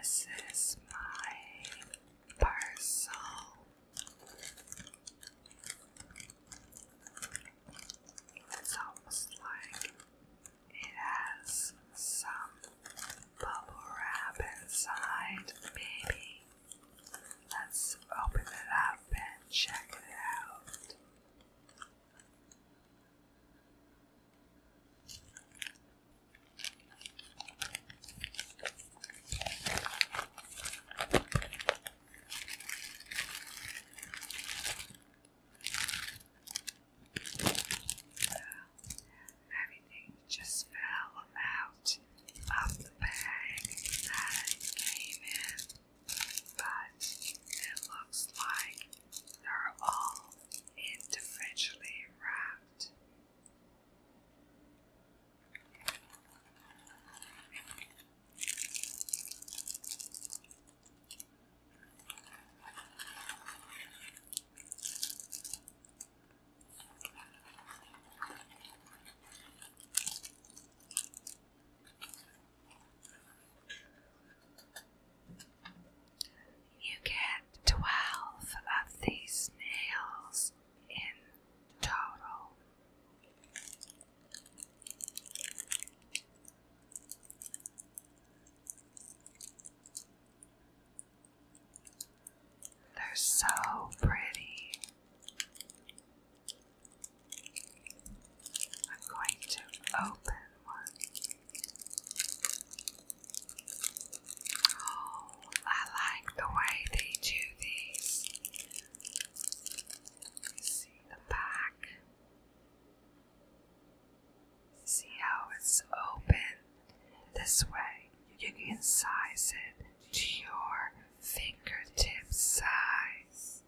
This is my parcel it's almost like it has some bubble wrap inside, maybe. Let's open it up and check it out. Everything just fell out of the bag that came in, but it looks like they're all individually wrapped. You get twelve of these nails in total. They're so pretty. I'm going to open one. Oh, I like the way they do these see the back. See how it's open this way. You can size it to your fingertip size.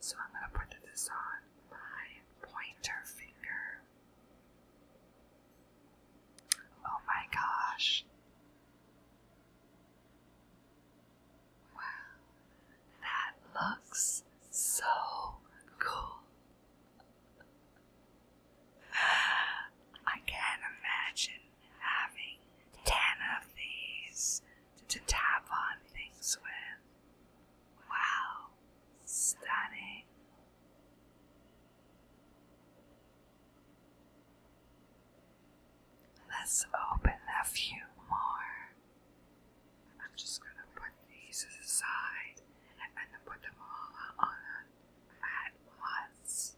So I'm going to put this on my pointer finger. Oh my gosh. Wow, that looks so cool. I can't imagine having ten of these to tap on things with. Wow, stunning. Let's open a few more. I'm just gonna put these aside and then put them all on at once.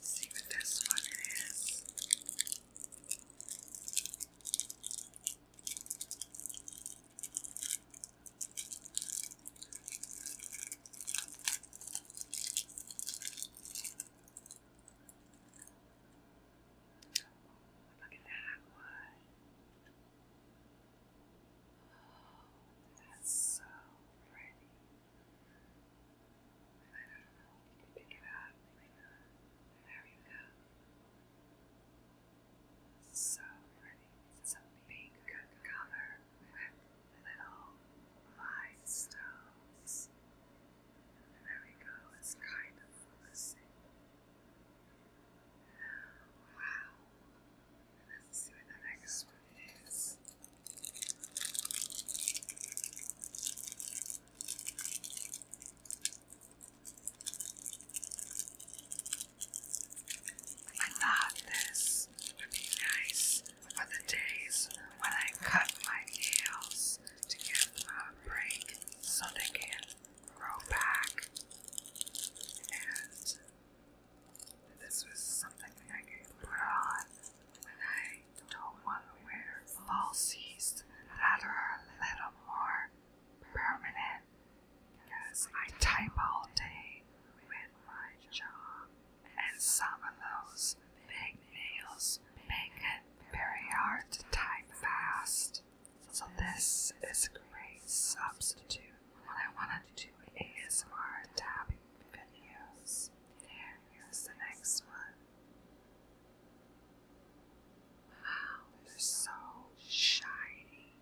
see what this one is. Look at that one. Oh, that's so pretty. I don't know if you can pick it up. There you go. So pretty. It's a pink color with little five And there we go, it's kind of focusing. Uh, wow. Let's see what the next one is. I thought this would be nice for the days when I cut my nails to give them a break so they can grow back. And this was something I could put on when I don't want to wear falsies that are a little more permanent. Cause I type all day with my job, and some of those big nails make it very hard to type fast. So this is a great substitute What I wanted to do ASMR tapping videos. Here, the next one. Wow, they're so shiny.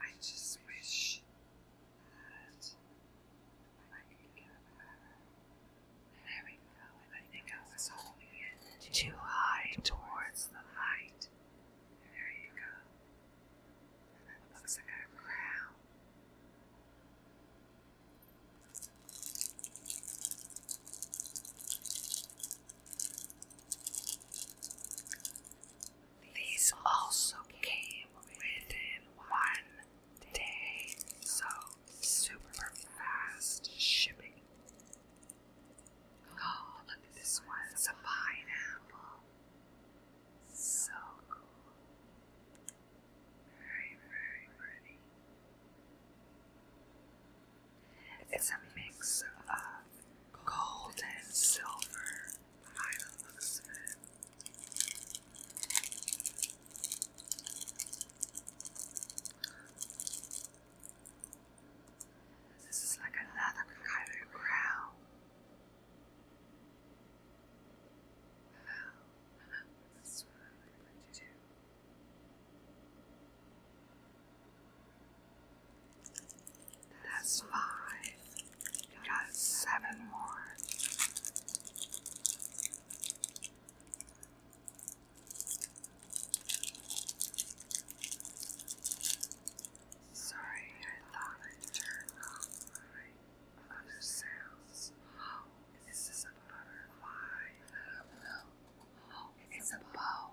I just wish that I could get There we go. I holding it too high towards the light. There you go. That looks like a crown. These also came within one day, so super fast shipping. Oh, look at this one. It's a pineapple. So cool. It's a mix of gold and silver by This is like another kind of crown. That's what five. seven more. Sorry, I thought I turned off other sounds. this is a butterfly. Oh, it's, a bow.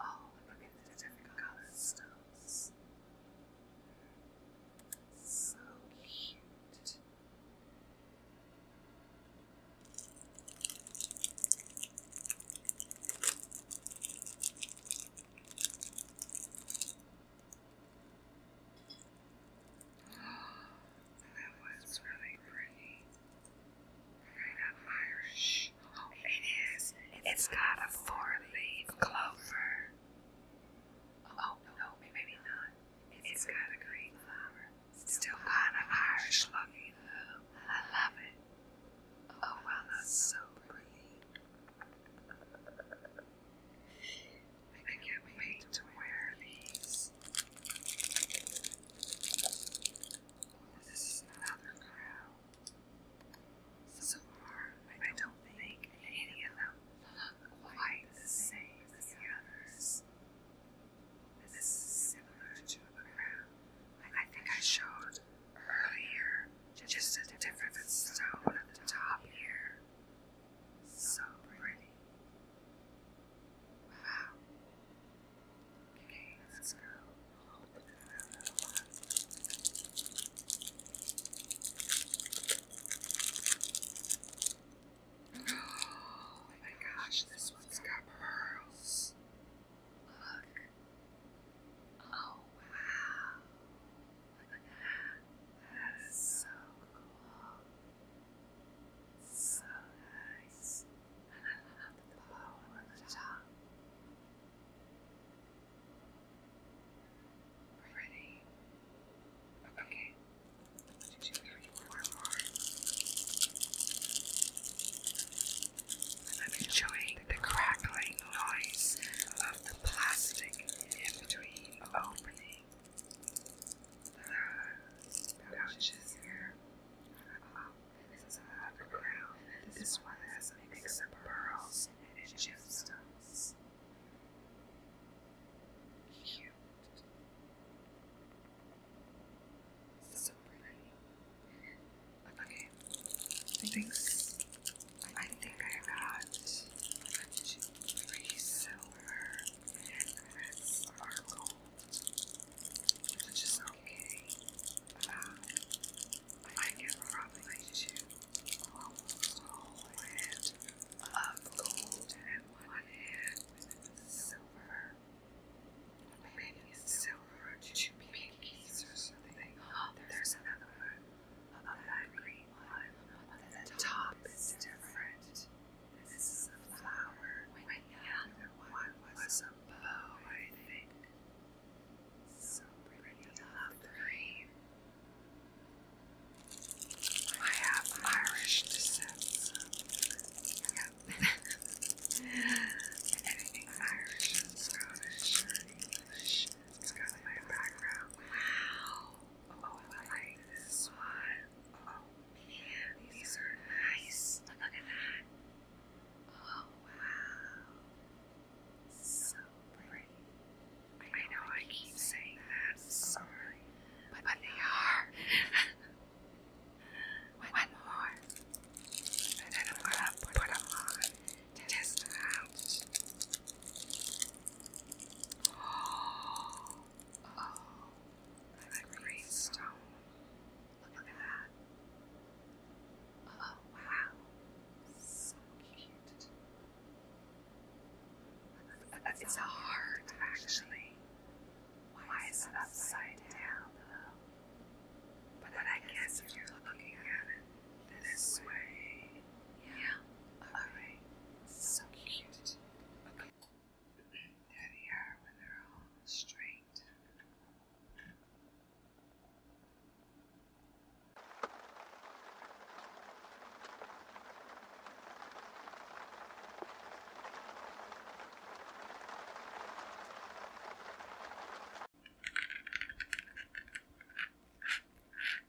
Oh, look at the different color stones. So cute. That was really pretty. Right up Irish. It's got a four-leaf clover. Oh no, maybe not. It's got a green flower. Still kind of Irish looking. I love it. Oh that's so pretty. I can't wait to wear these. This is another crown. So far, I don't think any of them quite the same as the others. This is similar to a crown I think I showed earlier, just a different stone at the top here. So pretty. Wow. Okay, let Oh my gosh, this one's got pearls. Look. Oh wow. That is so cool. So nice. And Okay. One, two, three, four more. I'm enjoying the crackling noise of the plastic in between opening the pouches here. this is a crown. This one has a mix pearls and gemstones. Cute. So pretty. Okay. I think I got three silver and sparkle, okay. I can probably do a whole hand gold and one hand with silver. Maybe it's silver, two pinkies or something. there's another one. Of that green. The top is different. This is a flower. When other one was a bow, I So pretty, love green. I have Irish descent. Anything Irish and Scottish or English. my background. Wow. Oh, my God! this one. these are nice. Look at that. Oh, wow. So pretty. I know I, keep, saying that. Sorry. But, they are. one, more. And then I'm to put them on. Test them Oh, oh that's a great stone. Look at that. Oh, wow. So cute. it's a heart, actually. Why, is it upside down, But, I guess if you're looking at it this way yeah. Alright. So, cute. cute. Okay. There they are when they're all straight.